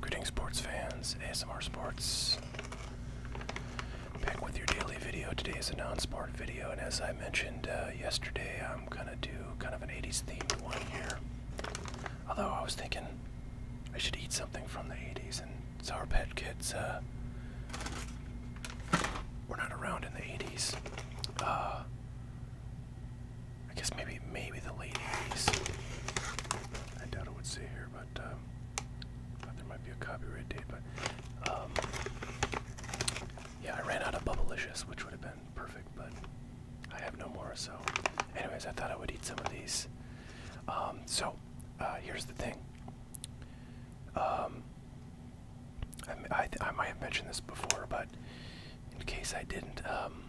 Greetings, sports fans, ASMR Sports. Back with your daily video. Today is a non sport video, and as I mentioned uh, yesterday, I'm gonna do kind of an 80s themed one here. Although I was thinking I should eat something from the 80s, and it's our pet Kids uh, were not around in the 80s. Uh, I guess maybe maybe the late 80s. I doubt it would say here, but um, there might be a copyright date. But um, yeah, I ran out of Bubblicious, which would have been perfect, but I have no more. So, anyways, I thought I would eat some of these. Um, so, uh, here's the thing. Um, I, might have mentioned this before, but in case I didn't, um,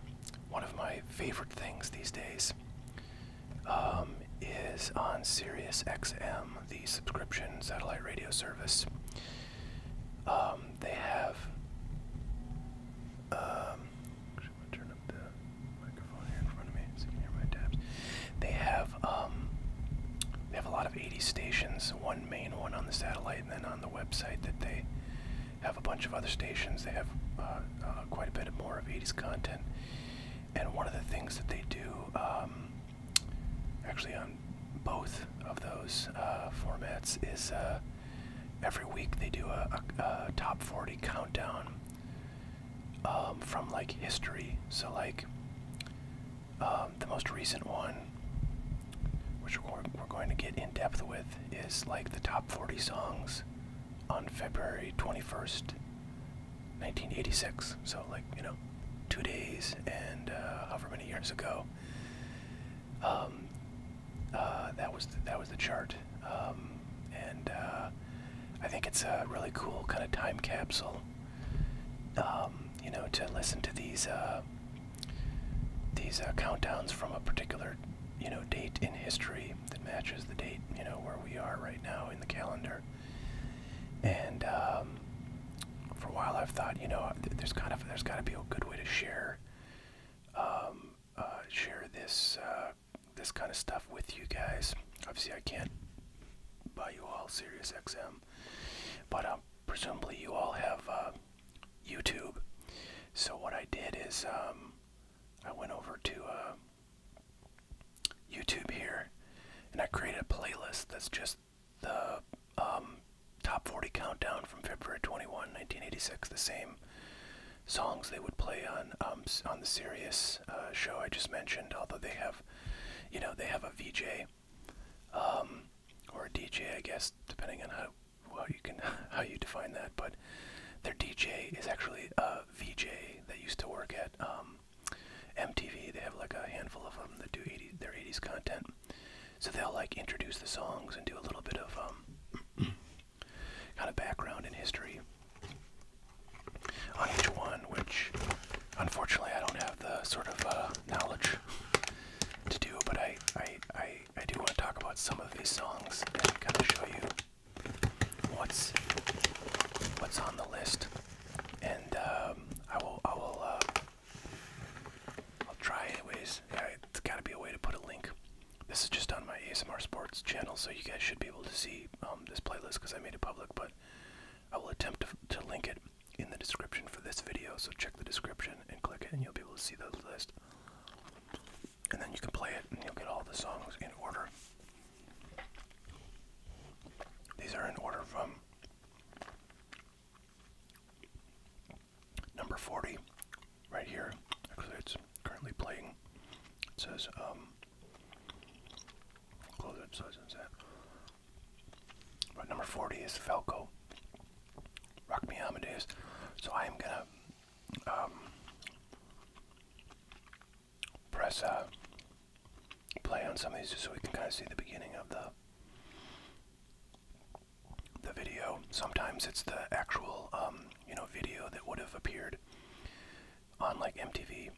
one of my favorite things these days um, is on SiriusXM, the subscription satellite radio service. Um, they have. actually, I'm gonna turn up the microphone here in front of me. They have um, they have a lot of 80 stations. One main one on the satellite, and then on the website that they have a bunch of other stations. They have uh, uh, quite a bit more of 80s content. And one of the things that they do, um, actually on both of those uh, formats, is every week they do a, top 40 countdown um, from like history. So like um, the most recent one, which we're, going to get in depth with, is like the top 40 songs on February 21st, 1986. So, like, you know, two days and uh, however many years ago. Um, uh, that was the, that was the chart, um, and uh, I think it's a really cool kind of time capsule. Um, you know, to listen to these uh, these uh, countdowns from a particular you know date in history that matches the date you know where we are right now in the calendar. And um, for a while, I've thought you know there's kind of there's got to be a good way to share um, uh, share this this kind of stuff with you guys. Obviously, I can't by you all, SiriusXM. But um, presumably you all have uh, YouTube. So what I did is um, I went over to uh, YouTube here, and I created a playlist that's just the um, top 40 countdown from February 21, 1986. The same songs they would play on on the Sirius uh, show I just mentioned, although they have you know, they have a VJ, um, or a DJ, I guess, depending on how you can how you define that. But their DJ is actually a VJ that used to work at MTV. Um, they have like a handful of them that do their 80s content. So they'll like introduce the songs and do a little bit of um, kind of background and history on each one, which unfortunately I don't have the sort of uh, knowledge to do, but I, I, I, I do want to talk about some of these songs and kind of show you what's what's on the list, and um, I will I will uh, I'll try anyways. Yeah, it's got to be a way to put a link. This is just on my ASMR Sports channel, so you guys should be able to see um, this playlist because I made it public. But I will attempt to, link it in the description for this video, so check the description and click it, and you'll be able to see the list. And then you can play it, and you'll get all the songs in order. These are in order from number 40, right here. Actually, it's currently playing. It says, um, Close number 40 is Falco. Rock Me Amadeus. So I am gonna um, press uh, play on some of these just so we can kind of see the beginning of the the video. Sometimes it's the actual um, you know video that would have appeared on like MTV.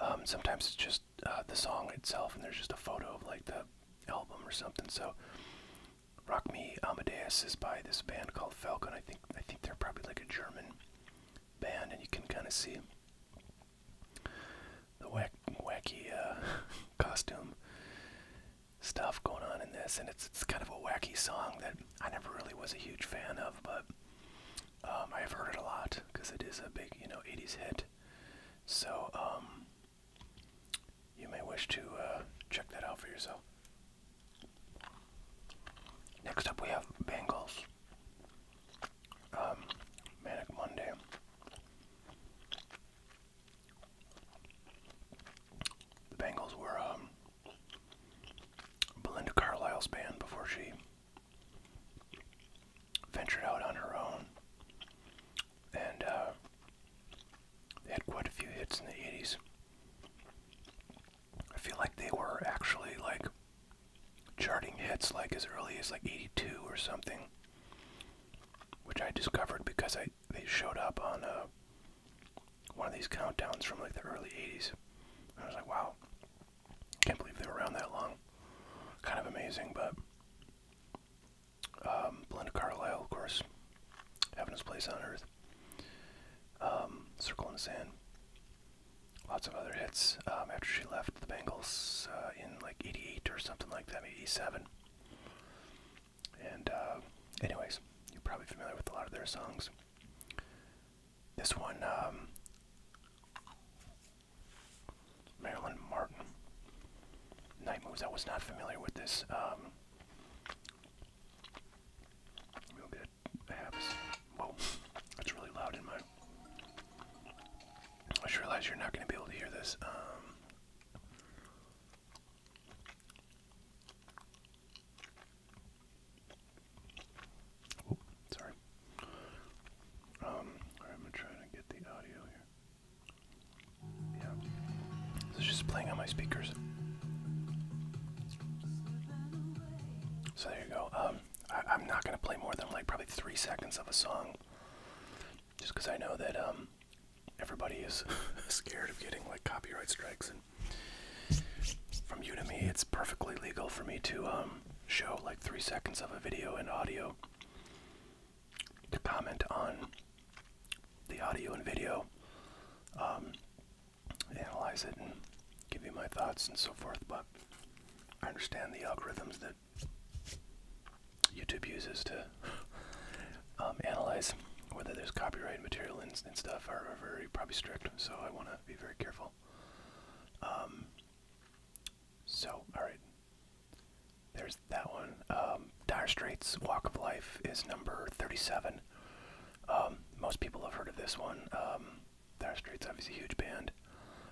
Um, sometimes it's just uh, the song itself, and there's just a photo of like the album or something. So, "Rock Me Amadeus" is by this band called Falcon. I think I think they're probably like a German band, and you can kind of see the wacky uh, costume stuff going on in this, and it's it's kind of a wacky song that I never really was a huge fan of, but um, I have heard it a lot because it is a big, you know, 80s hit. So, um, you may wish to uh, check that out for yourself. Next up, we have Bangles. Um, Manic Monday. The Bangles were Belinda Carlisle's band before she ventured out on her own, and uh, they had quite a few hits in the 80s. I feel like they were actually like charting hits like as early as like 82 or something, which I discovered because I they showed up on uh, one of these countdowns from like the early 80s. And I was like, wow, can't believe they were around that long. Kind of amazing, but um, Belinda Carlisle, of course, having his place on Earth. Um, Circle in the Sand. Lots of other hits um, after she left the Bengals uh, in like '88 or something like that, maybe '87. And uh, anyways, you're probably familiar with a lot of their songs. This one, um, Marilyn Martin. Night Moves. I was not familiar with this. Um, we'll get a Whoa, that's really loud in my. I just realize you're not going to be able to hear this. Um, Oh, sorry. Um, I'm gonna get the audio here. Yeah. it's just playing on my speakers. So there you go. Um, I, am not gonna play more than like probably three seconds of a song, just because I know that um, everybody is scared of getting like copyright strikes, and from me, it's perfectly legal for me to um, show like three seconds of a video and audio to comment on the audio and video, um, analyze it, and give you my thoughts and so forth. But I understand the algorithms that YouTube uses to um, analyze whether there's copyright material and, and stuff are, very probably strict. So I want to be very careful. Um, so, alright. There's that one. Um, dire Straits Walk of Life is number 37. Um, most people have heard of this one. Um, dire Straits obviously a huge band,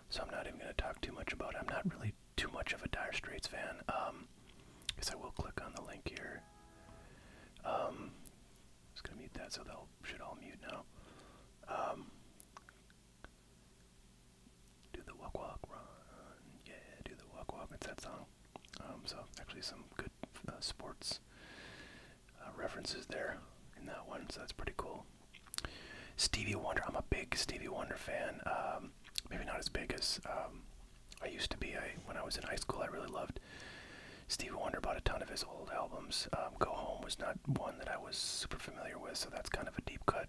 so I'm not even going to talk too much about it. I'm not really too much of a Dire Straits fan. I guess I will click on the link here. just going to mute that so they should all mute now. Do the walk, walk, run. Yeah, do the walk, walk. It's that song. Um, so, actually, some good uh, sports uh, references there in that one, so that's pretty cool. Stevie Wonder. I'm a big Stevie Wonder fan. Um, maybe not as big as um, I used to be. I when I was in high school, I really loved Stevie Wonder. Bought a ton of his old albums. Um, Go Home was not one that I was super familiar with, so that's kind of a deep cut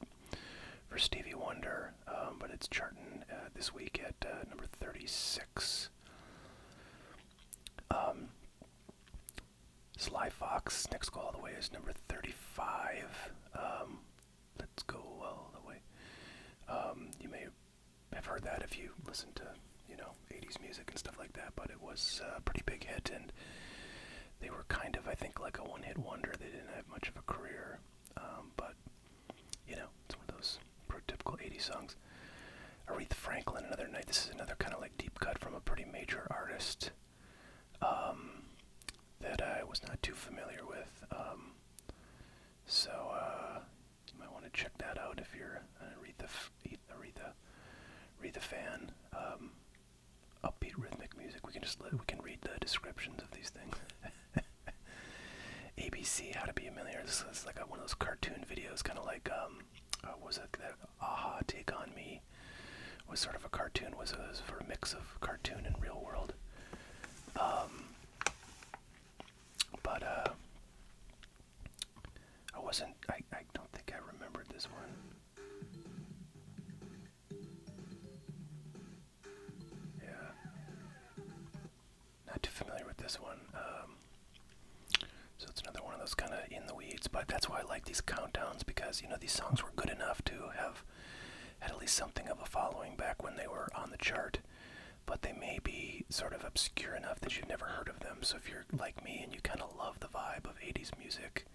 for Stevie Wonder. Um, but it's charting uh, this week at uh, number 36. Um, Sly Fox, next go all the way is number 35. Um, let's go all the way. you may have heard that if you listen to, you know, know, 80s music and stuff like that, but it was a pretty big hit, and they were kind of, I think, like a one hit wonder. They didn't have much of a career, um, but, you know, it's one of those prototypical 80s songs. Aretha Franklin, another night. This is another kind of like deep cut from a pretty major artist um, that I was not too familiar with. Um, so uh, you might want to check that out if you're an Aretha, Aretha read the fan, um, upbeat rhythmic music. We can just we can read the descriptions of these things. ABC, How to Be a Millionaire. This is like one of those cartoon videos, kind of like um, uh, was it that Aha Take on Me was sort of a cartoon. Was it for a mix of cartoon and real world. Um, but uh, I wasn't. I, I don't think I remembered this one. Yeah. Not too familiar with this one. Um, so it's another one of those kind of in the weeds, but that's why I like these countdowns because, you know, these songs were good enough to have had at least something of a following back when they were on the chart, but they may be sort of obscure enough that you've never heard of them. So if you're like me and you kind of gonna love the vibe of 80s music,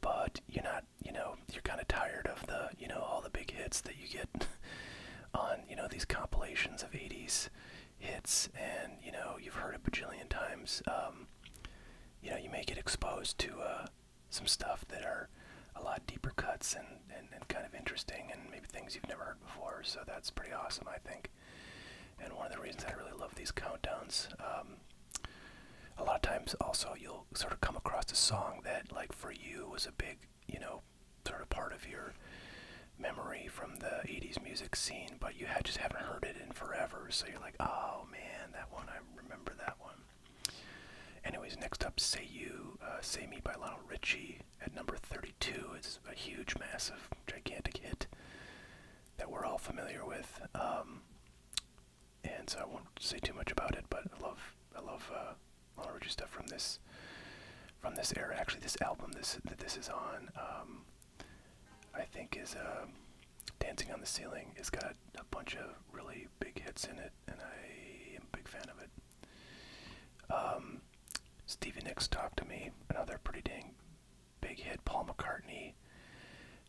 but you're not, you know, you're kind of tired of the, you know, all the big hits that you get on, you know, these compilations of 80s hits, and you know, you've heard a bajillion times. Um, you know, you may get exposed to uh, some stuff that are a lot deeper cuts and, and, and kind of interesting and maybe things you've never heard before. So that's pretty awesome, I think. And one of the reasons I really love these countdowns, um, a lot of times also you'll sort of come across a song that, like for you, was a big, you know, sort of part of your memory from the 80s music scene, but you just haven't heard it in forever. So you're like, oh man, that one, I remember that one. Anyways, next up, Say You, uh, Say Me by Lionel Richie at number 32. It's a huge, massive, gigantic hit that we're all familiar with, um, and so I won't say too much about it. But I love, I love all uh, Lionel Richie stuff from this, from this era. Actually, this album, that this is on, um, I think is um, Dancing on the Ceiling. It's got a bunch of really big hits in it, and I am a big fan of it. Stevie Nicks talked to me, another pretty dang big hit Paul McCartney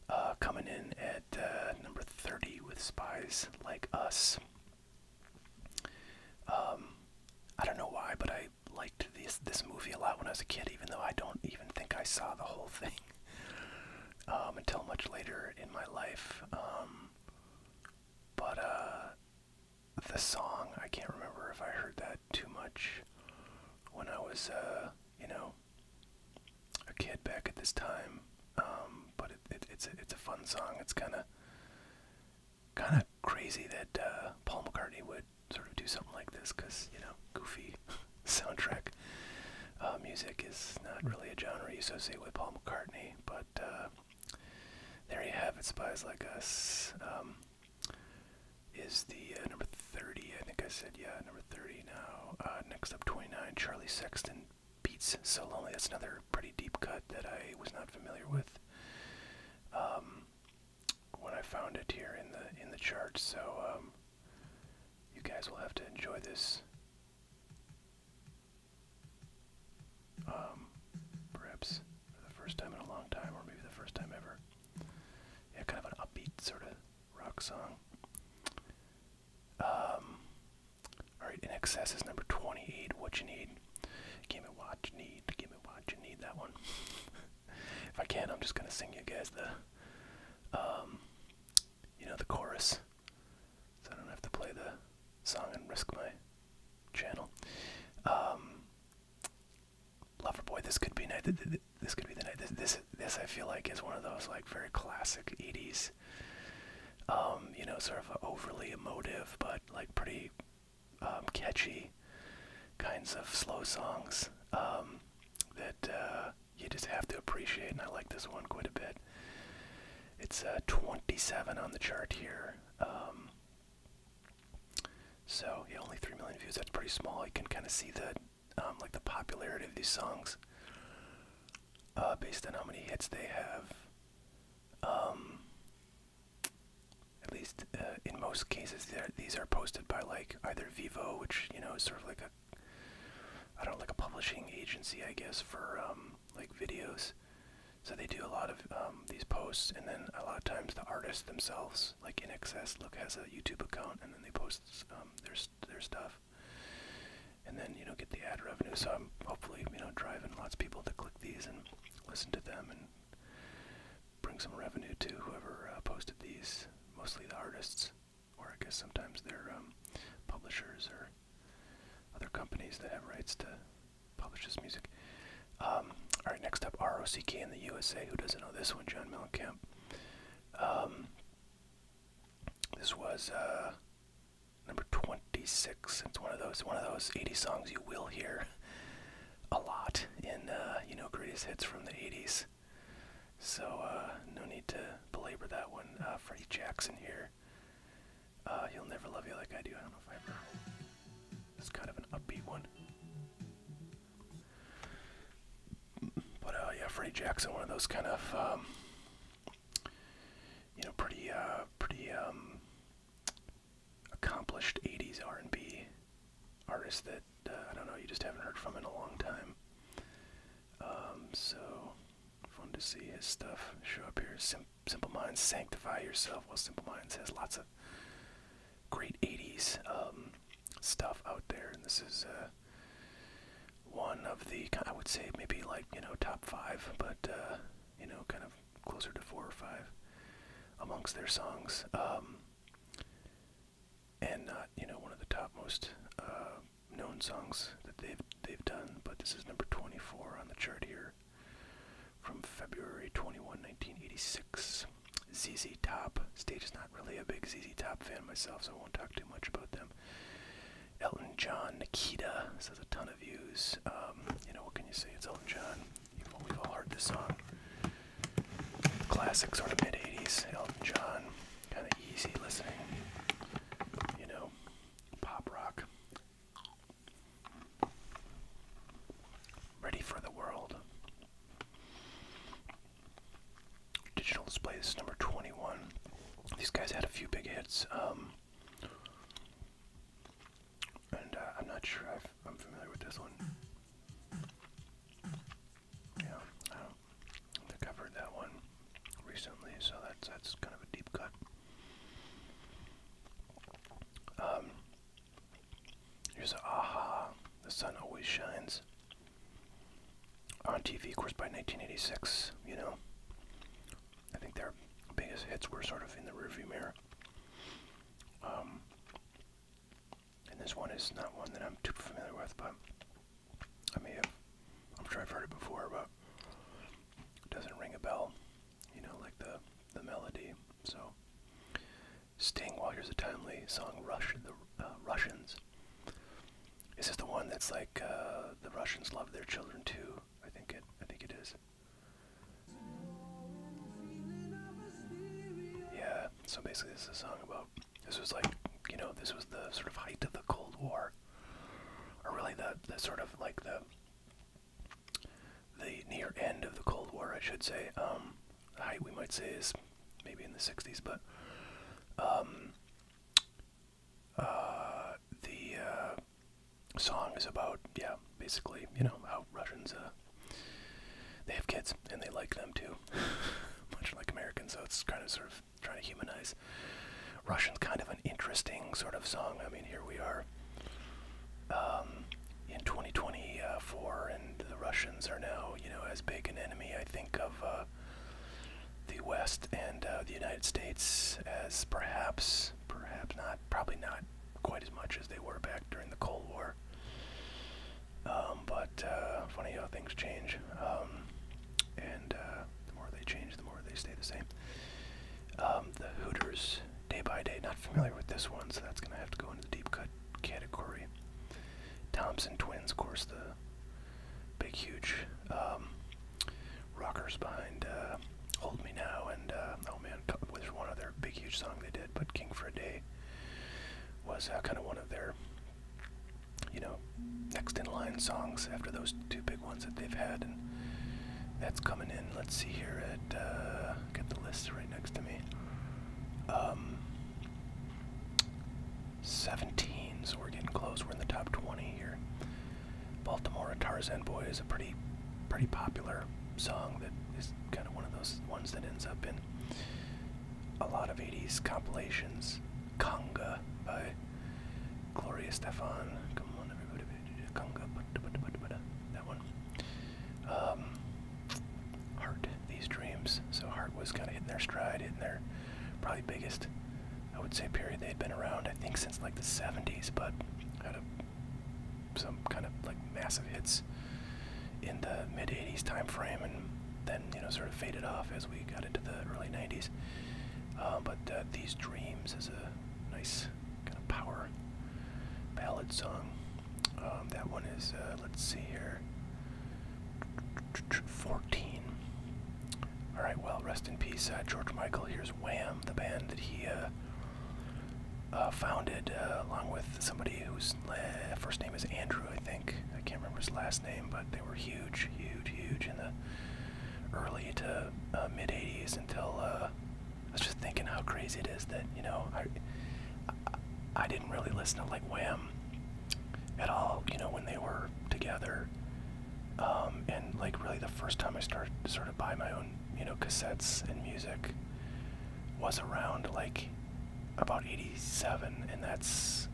uh, coming in at uh, number 30 with Spies Like Us. Um, I don't know why, but I liked this this movie a lot when I was a kid, even though I don't even think I saw the whole thing um, until much later in my life. Um, but uh, the song, I can't remember if I heard that uh, too much when I was, uh, you know, a kid back at this time. Um, but it, it, it's a, it's a fun song. It's kind of kind of crazy that uh, Paul McCartney would sort of do something like this because you know, goofy soundtrack uh, music is not really a genre you associate with Paul McCartney. But uh, there you have it, Spies Like Us. Um, is the uh, number 30. I think I said, yeah, number 30 now. Uh, next up, 29, Charlie Sexton beats So Lonely. That's another pretty deep cut that I was not familiar with um, when I found it here in the in the chart, So um, you guys will have to enjoy this. Um, perhaps for the first time in a long time, or maybe the first time ever. Yeah, kind of an upbeat sort of rock song. Um, Alright, In Excess is number 28, What You Need. Give me what you need, give me what you need, that one. if I can, I'm just going to sing you guys the, um, you know, the chorus. So I don't have to play the song and risk my channel. Um, Loverboy. This could be the night. This could be the night. This, this, I feel like is one of those like very classic '80s. Um, you know, sort of overly emotive, but like pretty um, catchy kinds of slow songs um, that uh, you just have to appreciate. And I like this one quite a bit. It's uh, 27 on the chart here. So yeah, only three million views. That's pretty small. You can kind of see the um, like the popularity of these songs uh, based on how many hits they have. Um, at least uh, in most cases, these are posted by like either Vivo, which you know is sort of like a I don't like a publishing agency, I guess, for um, like videos. So they do a lot of these posts, and then a lot of times the artists themselves Look's like in excess. Look has a YouTube account, and then they post um, their their stuff, and then you know get the ad revenue. So I'm hopefully you know driving lots of people to click these and listen to them and bring some revenue to whoever uh, posted these. Mostly the artists, or I guess sometimes their um, publishers or other companies that have rights to publish this music. Um, all right, next up, ROCK in the USA. Who doesn't know this one? John Mellencamp. Um, this was uh, number 26. It's one of those one of those 80 songs you will hear a lot in uh, you know greatest hits from the 80s. So uh, no need to belabor that one. Uh, Freddie Jackson here. Uh, He'll never love you like I do. I don't know if I ever. It's kind of an upbeat one. But uh, yeah, Freddie Jackson, one of those kind of um, you know pretty uh, pretty um, accomplished '80s R&B artist that uh, I don't know you just haven't heard from in a long time. Um, so fun to see his stuff show up here. Sim Simple Minds, Sanctify Yourself. Well, Simple Minds has lots of great 80s um, stuff out there. And this is uh, one of the, I would say maybe like, you know, top five, but, uh, you know, kind of closer to four or five amongst their songs. Um, and not, you know, one of the top most uh, known songs that they've, they've done, but this is number 24 on the chart here from February 21, 1986. ZZ Top. Stage is not really a big ZZ Top fan myself, so I won't talk too much about them. Elton John, Nikita. This has a ton of views. Um, you know, what can you say? It's Elton John. we've all heard this song. Classic, sort of mid 80s. Elton John. Kind of easy listening. You know, pop rock. Ready for the World. Digital display. This is number twenty-one. These guys had a few big hits, um, and uh, I'm not sure i am familiar with this one. Yeah, I don't I've heard that one recently, so that's that's kind of a deep cut. Um, Here's a aha. The sun always shines. On TV, of course, by 1986, you know. I think their biggest hits were sort of in the rearview mirror. Um, and this one is not one that I'm too familiar with, but I may have, I'm sure I've heard it before, but it doesn't ring a bell, you know, like the, the melody. So Sting, while here's a timely song, Rush the uh, Russians. Is this the one that's like uh, the Russians love their children too? I think it. I think it is. Yeah. So basically, this is a song about. This was like, you know, this was the sort of height of the Cold War, or really the the sort of like the the near end of the Cold War, I should say. Um, the height we might say is maybe in the 60s, but um, uh, the uh, song is about, yeah, basically, you know, how Russians, uh, they have kids and they like them too, much like Americans, so it's kind of sort of trying to humanize. Russian's kind of an interesting sort of song. I mean, here we are um, in 2024, and the Russians are now, you know, as big an enemy, I think, of uh, the West and uh, the United States as perhaps, perhaps not, probably not quite as much as they were back during the Cold War. Um, but uh, funny how things change. Um, and the more they change, the more they stay the same. the Hooters Day by Day. Not familiar with this one, so that's going to have to go into the deep cut category. Thompson Twins, of course, the big, huge um, rockers behind uh, Hold Me Now. And, uh, oh man, there's one other big, huge song they did, but King for a Day was uh, kind of one of their, you know, next in line songs after those two big ones that they've had. And that's coming in, let's see here, at uh, get the list right next to me. Um, 17, so we're getting close. We're in the top 20 here. Baltimore Tarzan Boy is a pretty, pretty popular song that is kind of one of those ones that ends up in a lot of 80s compilations. Conga by Gloria Stefan. Come on, everybody. Conga. That one. Um, heart these dreams. So Heart was kind of in their stride, in their probably biggest, I would say, period they'd been around. I think since like the '70s, but had some kind of like massive hits in the mid '80s time frame, and then you know sort of faded off as we got into the early '90s. Uh, but uh, these dreams is a nice kind of power ballad song. Um, that one is, uh, let's see here, 14. All right, well, rest in peace, uh, George Michael. Here's Wham, the band that he uh, founded along with somebody whose first name is Andrew, I think. I can't remember his last name, but they were huge, huge, huge in the early to mid 80s until I was just thinking how crazy it is that you know I, I, didn't really listen to like Wham at all. You know when they were together, um, and like really the first time I started sort of buy my own you know cassettes and music was around like about '87, and that's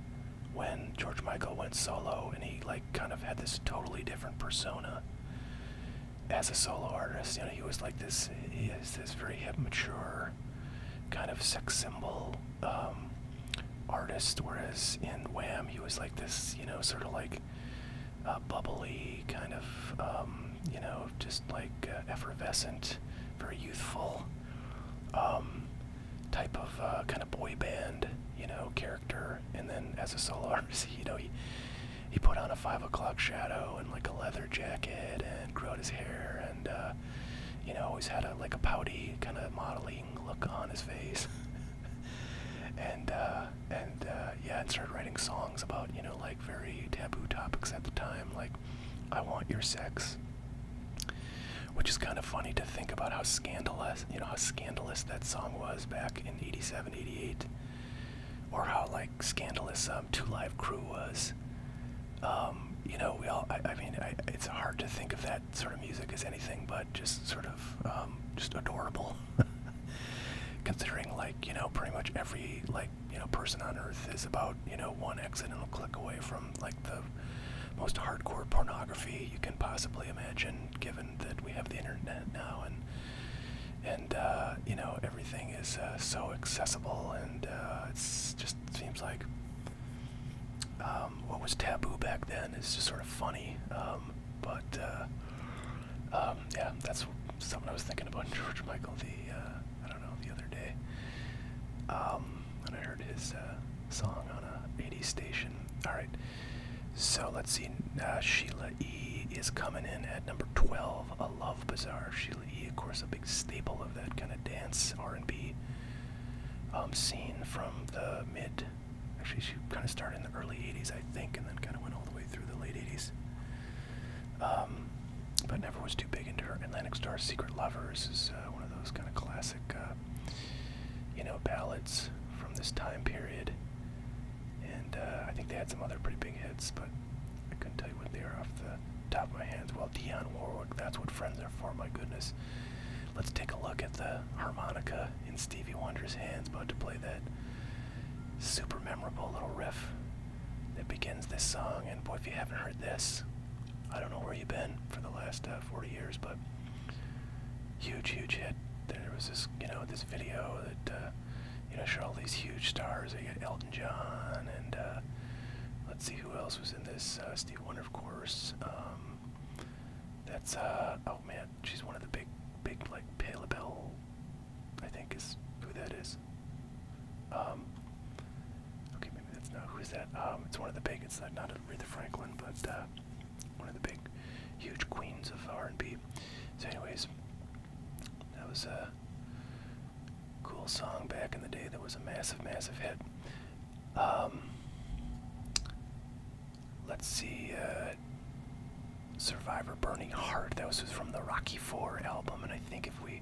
when George Michael went solo and he like kind of had this totally different persona as a solo artist, you know, he was like this. He is this very mature, kind of sex symbol um, artist. Whereas in Wham, he was like this, you know, sort of like uh, bubbly, kind of, um, you know, just like uh, effervescent, very youthful um, type of uh, kind of boy band, you know, character. And then as a solo artist, you know, he he put on a five o'clock shadow and like a leather jacket and grew out his hair and uh, you know always had a like a pouty kind of modeling look on his face and uh, and uh, yeah and started writing songs about you know like very taboo topics at the time like I want your sex which is kind of funny to think about how scandalous you know how scandalous that song was back in 87 88 or how like scandalous um, Two Live Crew was. Um, you know, we all. I, mean, it's hard to think of that sort of music as anything but just sort of um, just adorable, considering like you know pretty much every like you know person on Earth is about you know one accidental click away from like the most hardcore pornography you can possibly imagine, given that we have the internet now and and uh, you know everything is uh, so accessible, and uh, it just seems like um, what was taboo back then is just sort of funny. Um, but um, yeah, that's something I was thinking about George Michael the I don't know the other day, um, I heard his song on a '80s station. All right, so let's see. Sheila E. is coming in at number 12. A Love Bazaar. Sheila E. Of course, a big staple of that kind of dance R&B um, scene from the mid. Actually, she kind of started in the early 80s, I think, and then kind of went all the way through the late 80s. Um, but never was too big into her. Atlantic star. Secret Lovers is uh, one of those kind of classic, uh, you know, ballads from this time period and uh, I think they had some other pretty big hits, but I couldn't tell you what they are off the top of my head. Well, Dionne Warwick, that's what friends are for, my goodness. Let's take a look at the harmonica in Stevie Wonder's hands, about to play that super memorable little riff that begins this song. And boy, if you haven't heard this, I don't know where you've been for the last uh, 40 years, but huge, huge hit. There was this, you know, this video that uh, you know, sure, all these huge stars. I got Elton John, and uh, let's see who else was in this. Uh, Steve Wonder, of course. Um, that's uh, oh man, she's one of the big, big like Pale Bell, I think is who that is. Um, okay, maybe that's not who is that. Um, it's one of the big. It's not, not Aretha Franklin, but one of the big, huge queens of R&B. So, anyways, that was a cool song back in the day that was a massive, massive hit. Um, let's see. Uh, Survivor Burning Heart. That was from the Rocky Four album, and I think if we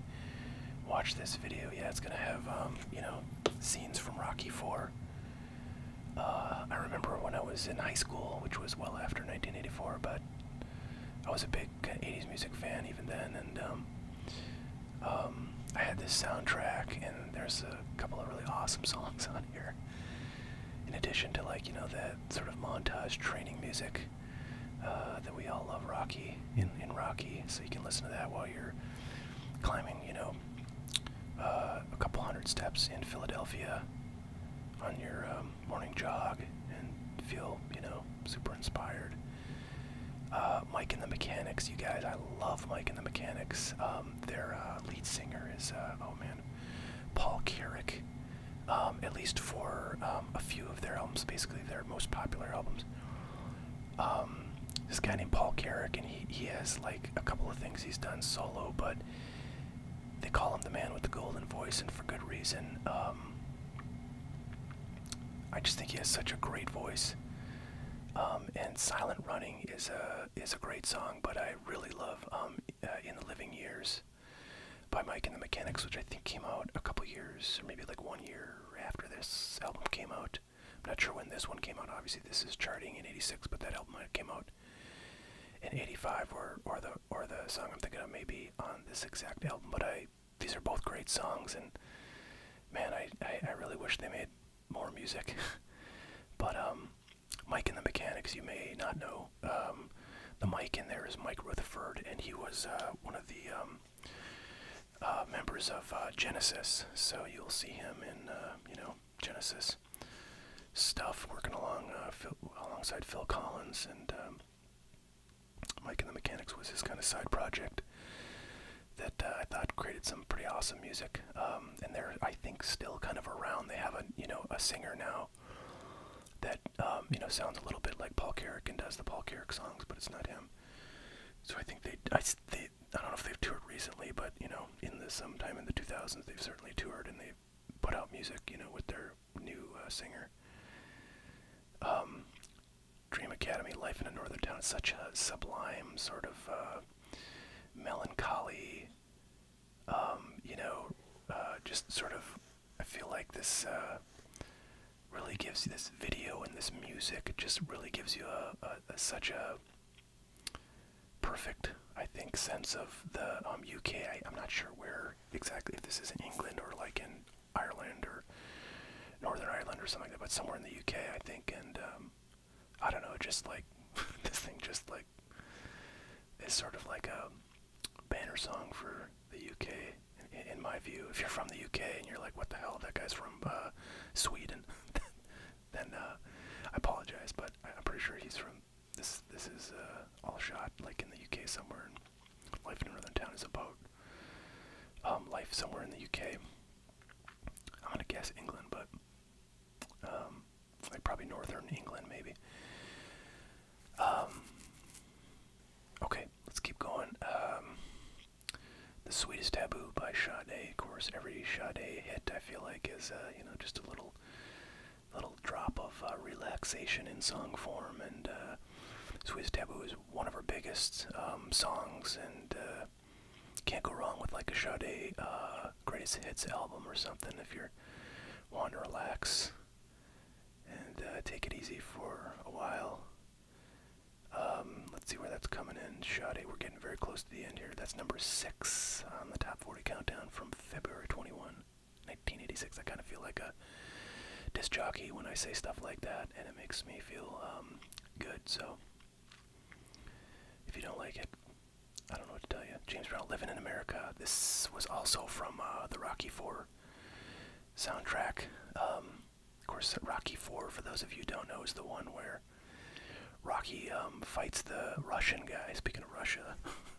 watch this video, yeah, it's gonna have um, you know scenes from Rocky Four. Uh, I remember when I was in high school, which was well after 1984, but I was a big 80s music fan even then, and um, um, I had this soundtrack, and there's a couple of really awesome songs on here. In addition to like you know the sort of montage training music uh, that we all love, Rocky in in Rocky, so you can listen to that while you're climbing, you know, uh, a couple hundred steps in Philadelphia on your um, um, morning jog and feel, you know, super inspired. Uh, Mike and the Mechanics, you guys, I love Mike and the Mechanics. Um, their uh, lead singer is, uh, oh man, Paul Carrick. Um, at least for a few of their albums, basically their most popular albums. this guy named Paul Carrick, and he, he has like a couple of things he's done solo, but they call him the man with the golden voice, and for good reason. Um, I just think he has such a great voice. Um, and "Silent Running" is a is a great song, but I really love um, uh, "In the Living Years" by Mike and the Mechanics, which I think came out a couple years, or maybe like one year after this album came out. I'm not sure when this one came out. Obviously, this is charting in '86, but that album came out in 85 or or the or the song I'm thinking of maybe on this exact album but I these are both great songs and man I I, really wish they made more music but um Mike in the Mechanics you may not know um the Mike in there is Mike Rutherford and he was uh, one of the um uh, members of uh, Genesis so you'll see him in you know Genesis stuff, working along uh, Phil, alongside Phil Collins and um, Mike and the Mechanics was his kind of side project that uh, I thought created some pretty awesome music. Um, and they're I think still kind of around. They have a you know a singer now that um, you know sounds a little bit like Paul Carrick and does the Paul Carrick songs, but it's not him. So I think they I, they I don't know if they've toured recently, but you know in the sometime in the 2000s they've certainly toured and they've put out music you know with their new uh, singer. Um, Dream Academy, Life in a Northern Town It's such a sublime sort of uh, melancholy, um, you know, uh, just sort of, I feel like this really gives you this video and this music, it just really gives you a, such a perfect, I think, sense of the UK. Um, I'm not sure where remember exactly if this is in England or like in Ireland or Northern Ireland or something like that, but somewhere in the UK, I think. And um, I don't know, just like this thing, just like is sort of like a banner song for the UK, in, in my view. If you're from the UK and you're like, what the hell, that guy's from uh, Sweden, then uh, I apologize, but I'm pretty sure he's from this this is uh, all shot like in the UK somewhere. Life in Northern Town is about um, life somewhere in the UK. I'm gonna guess England, but um, like probably Northern England maybe. Um, okay, let's keep going. the Sweetest Taboo by Sade. Of course, every Sade hit I feel like is uh, you know just a little little drop of uh, relaxation in song form. And uh, Swiss Taboo is one of her biggest um, songs, and uh, can't go wrong with like a Sade uh, greatest hits album or something if you're wanting to relax and take it easy for a while. Um, let's see where that's coming in. Sade, we're getting very close to the end here. That's number six on the top 40 countdown from February 21. 1986. I kind of feel like a disc jockey when I say stuff like that, and it makes me feel um, good. So, if you don't like it, I don't know what to tell you. James Brown, Living in America. This was also from uh, the Rocky Four soundtrack. Um, of course, Rocky Four, for those of you don't know, is the one where Rocky um, fights the Russian guy. Speaking of Russia.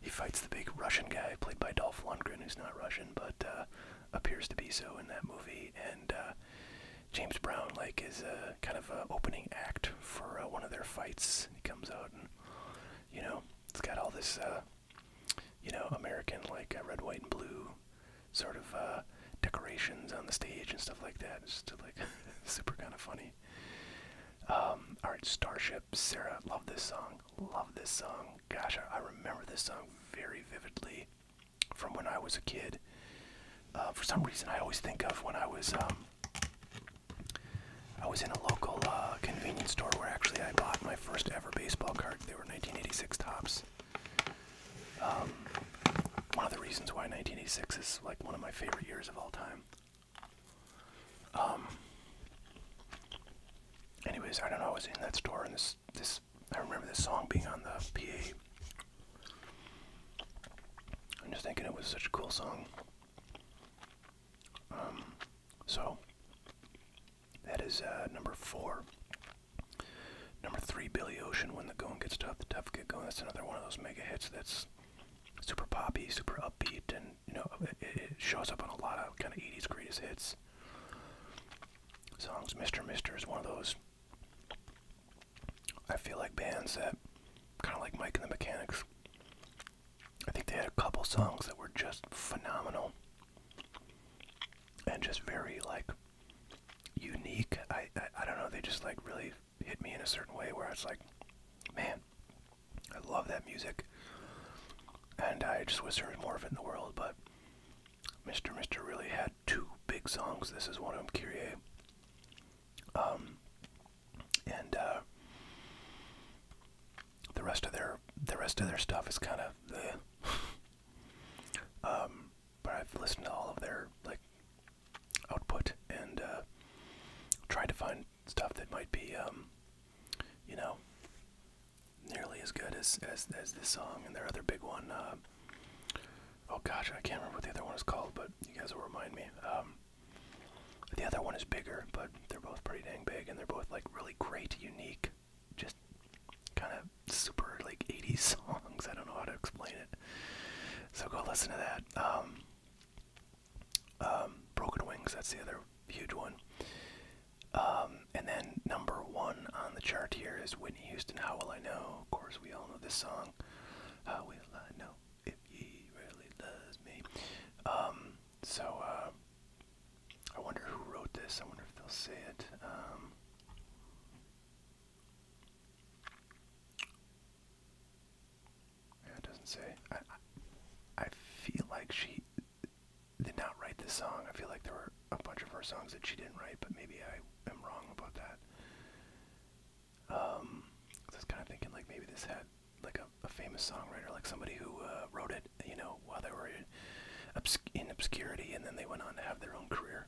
He fights the big Russian guy played by Dolph Lundgren, who's not Russian but uh, appears to be so in that movie. And uh, James Brown, like, is a kind of a opening act for uh, one of their fights. He comes out and you know it's got all this, uh, you know, American like uh, red, white, and blue sort of uh, decorations on the stage and stuff like that. It's just like super kind of funny. Um, all right, Starship Sarah, love this song. Love this song. Gosh, I, remember this song very vividly from when I was a kid. Uh, for some reason, I always think of when I was um, I was in a local uh, convenience store where actually I bought my first ever baseball card. They were 1986 tops. Um, one of the reasons why 1986 is like one of my favorite years of all time. Um, anyways, I don't know. I was in that store, and this this I remember this song being on the PA. I'm just thinking it was such a cool song. Um, so. That is uh, number four. Number three, Billy Ocean, When the Going Gets Tough, the Tough Get Going. That's another one of those mega hits that's super poppy, super upbeat, and you know it, shows up on a lot of kind of '80s greatest hits songs. Mr. Mister is one of those. I feel like bands that kind of like Mike and the Mechanics. I think they had a couple songs that were just phenomenal and just very like unique. I I don't know. They just like really hit me in a certain way where it's like, man, I love that music, and I just wish there was more of it in the world. But Mr. Mr. really had two big songs. This is one of them, Kyrie. Um, and uh, the rest of their the rest of their stuff is kind of the. um, but I've listened to all of their like output and uh, tried to find and stuff that might be, um, you know, nearly as good as, as, as this song and their other big one. Uh, oh gosh, I can't remember what the other one is called, but you guys will remind me. Um, the other one is bigger, but they're both pretty dang big, and they're both like really great, unique, just kind of super like 80s songs. I don't know how to explain it. So go listen to that. Um, um, Broken Wings, that's the other huge one. Um, and then number one on the chart here is Whitney Houston, How Will I Know? Of course, we all know this song. How will I know if ye really loves me? Um, so, uh, I wonder who wrote this. I wonder if they'll say it. Yeah, it doesn't say. I, I, I feel like she did not write this song. I feel like there were a bunch of her songs that she didn't write, but maybe I am wrong about that. Um, I was kind of thinking like maybe this had like a, a famous songwriter, like somebody who uh, wrote it, you know, while they were in, obs in obscurity, and then they went on to have their own career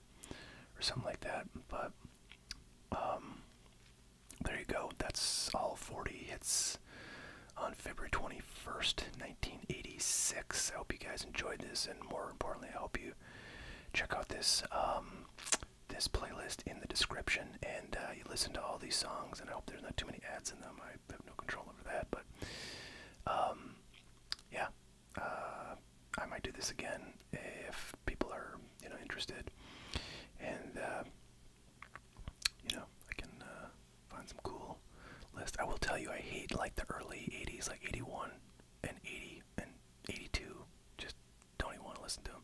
or something like that. But um, there you go. That's all 40 hits on February 21st, 1986. I hope you guys enjoyed this, and more importantly, I hope you check out this um, this playlist in the description and uh, you listen to all these songs. And I hope there's not too many ads in them. I have no control over that, but um, yeah, uh, I might do this again if people are you know interested. And uh, you know, I can uh, find some cool list. I will tell you, I hate like the early '80s, like '81 and '80 and '82. Just don't even want to listen to them.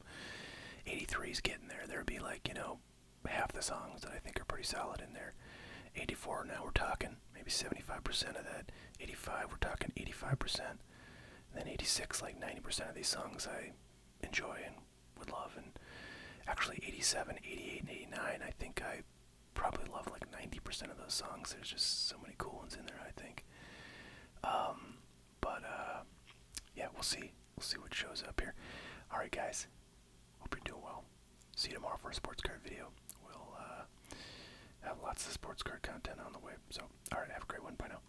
'83's getting there. There'd be like you know half the songs that I think are pretty solid in there. '84 now we're talking maybe 75% of that. '85 we're talking 85%. And then '86 like 90% of these songs I enjoy and would love, and actually 87, 88, and 89. I think I probably love like 90% of those songs. There's just so many cool ones in there. I think. Um, but uh, yeah, we'll see. We'll see what shows up here. All right, guys. Hope you're doing well. See you tomorrow for a sports card video. We'll uh, have lots of sports card content on the way. So, all right, have a great one. Bye now.